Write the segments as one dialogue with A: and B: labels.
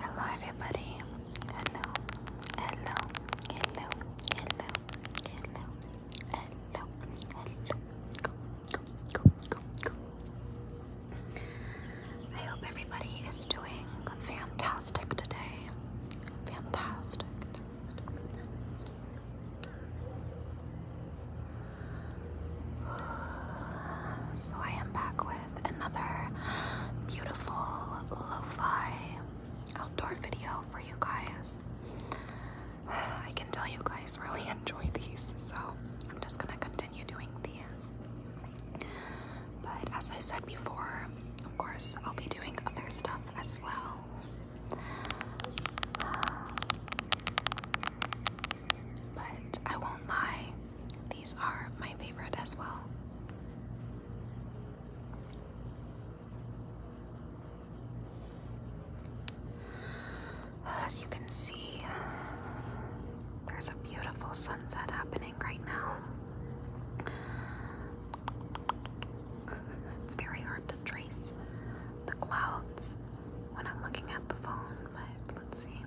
A: Hello, everybody. Hello, hello, hello, hello, hello, hello, Go, go, go, go, go. I hope everybody is doing fantastic today. Fantastic. fantastic, fantastic. So I am back with another beautiful lo-fi outdoor video for you guys. I can tell you guys really enjoy these, so I'm just gonna continue doing these. But as I said before, of course, I'll be doing other stuff as well. Um, but I won't lie, these are my favorite as well. As you can see, there's a beautiful sunset happening right now. It's very hard to trace the clouds when I'm looking at the phone let's see.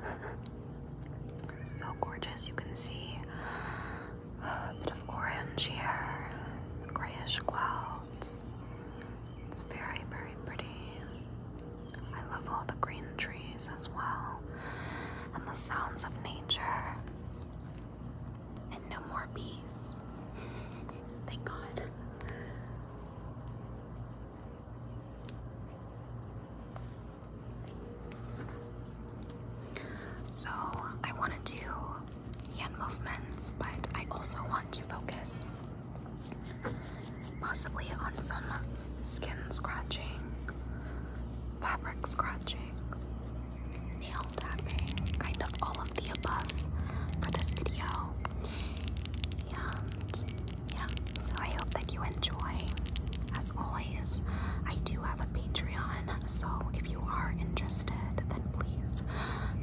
A: so gorgeous, you can see a bit of orange here, grayish clouds. It's very, very pretty. I love all the green trees as well, and the sounds of nature, and no more bees. Thank God. So, I want to do hand movements, but I also want to focus Possibly on some skin scratching, fabric scratching, nail tapping, kind of all of the above for this video. And yeah, so I hope that you enjoy. As always, I do have a Patreon, so if you are interested, then please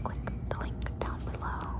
A: click the link down below.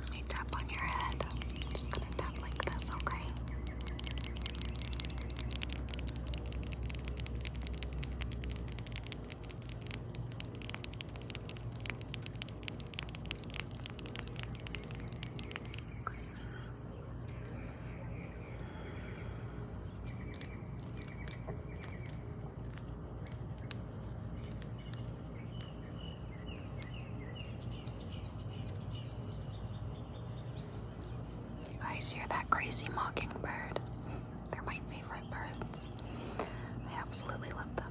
A: Let me tap on your head. I'm just gonna tap like this, okay? You guys hear that crazy mockingbird? They're my favorite birds. I absolutely love them.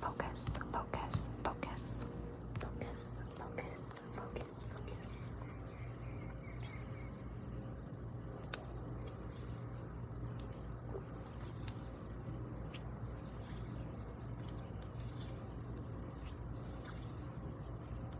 A: Focus, focus, focus, focus, focus, focus, focus.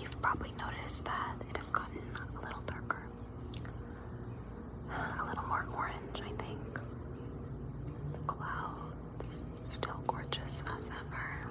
A: You've probably noticed that it has gotten a little darker, a little more orange, I think. The clouds, still gorgeous as ever.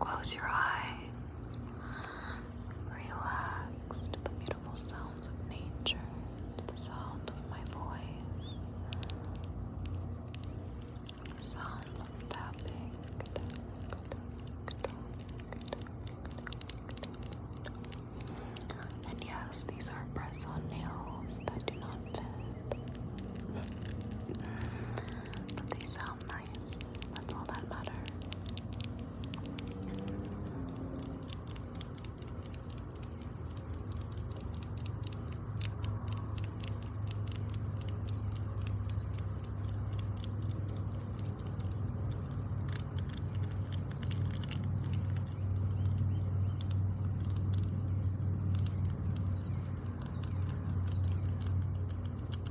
A: Close your eyes. Relax to the beautiful sounds of nature, to the sound of my voice, the sounds of tapping. And yes, these are press on nails that do not fit. But they sound guys. That's all that matters.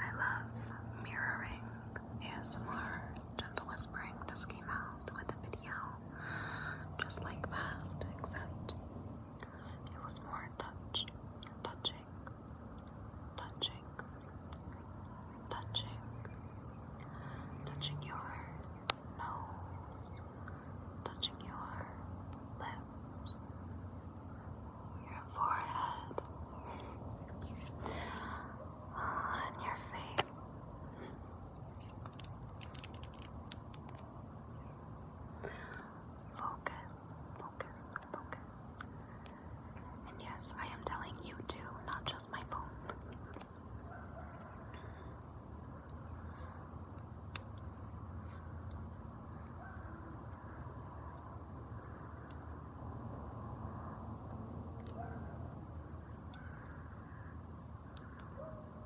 A: I love mirroring ASMR. Gentle Whispering just came out with a video just like that, except it was more touch, touching, touching, touching, touching your nose, touching your lips, your forehead, and your face. Focus, focus, focus. And yes, I am telling you too, not just my phone.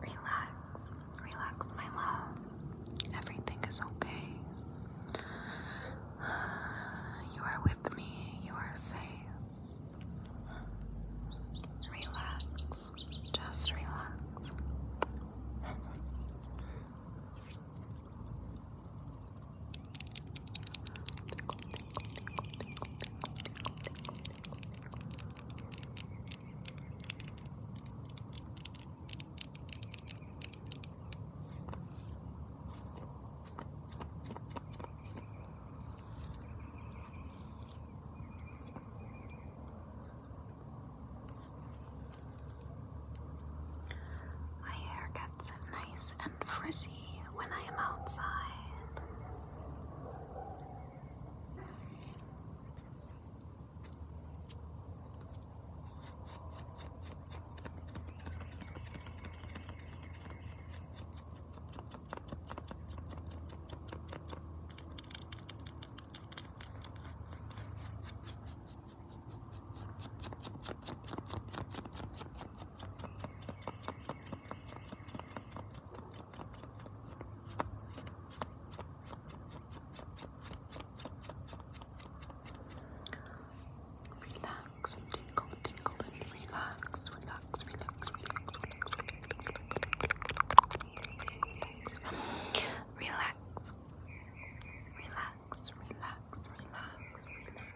A: Relax, relax, my love. Everything is okay. You are with me, you are safe. Relax, just relax. My hair gets nice and frizzy when I am outside. Relax and tingle, tingle and relax, relax, relax, relax, relax, relax, relax, relax, relax, relax, relax.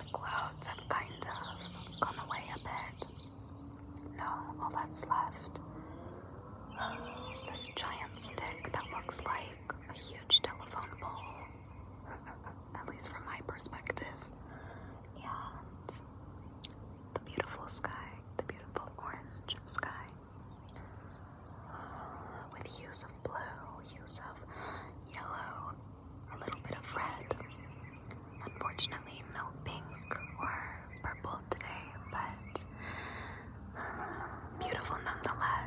A: The clouds have kind of gone away a bit. No, all that's left is this giant stick that looks like a huge telephone pole, at least from my perspective. And the beautiful sky, the beautiful orange sky with hues of blue, hues of yellow, a little bit of red. Unfortunately, no pink or purple today, but uh, beautiful nonetheless.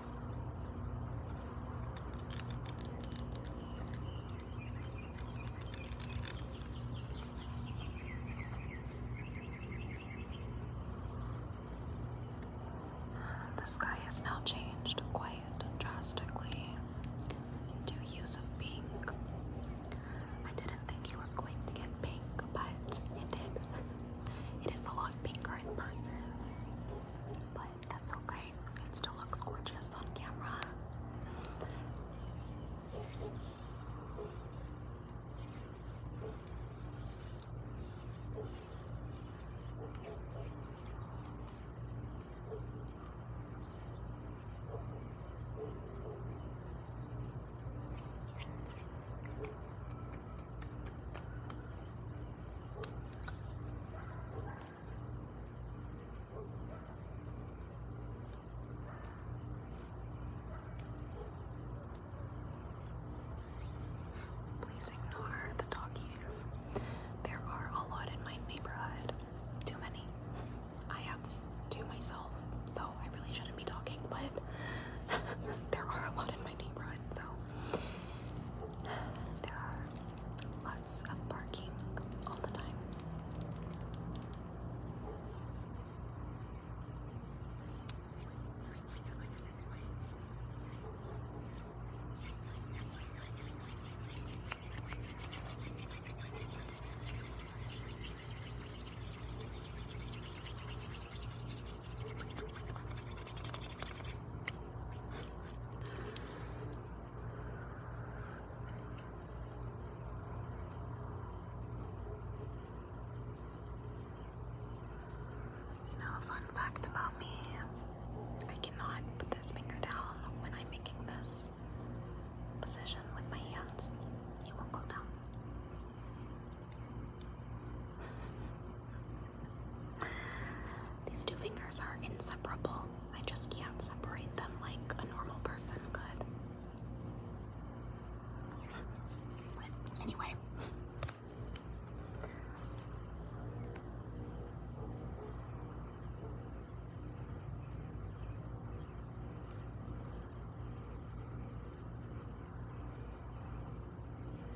A: The sky has now changed quite drastically into hues of pink. I didn't think it was going to get pink, but it did. It is a lot pinker in person, but that's okay. It still looks gorgeous on camera. Please ignore the doggies. There are a lot in my neighborhood. Too many. I have two myself, so I really shouldn't be talking, but there are a lot in my neighborhood, so there are lots of parking all the time. You know, a fun fact about me I cannot put this finger down when I'm making this position with my hands, it won't go down. These two fingers are inseparable. I just can't separate them like a normal person could. anyway.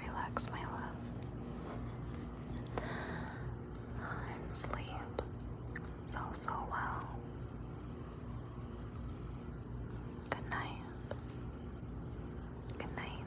A: Relax, my love. And sleep so, so well. Good night. Good night.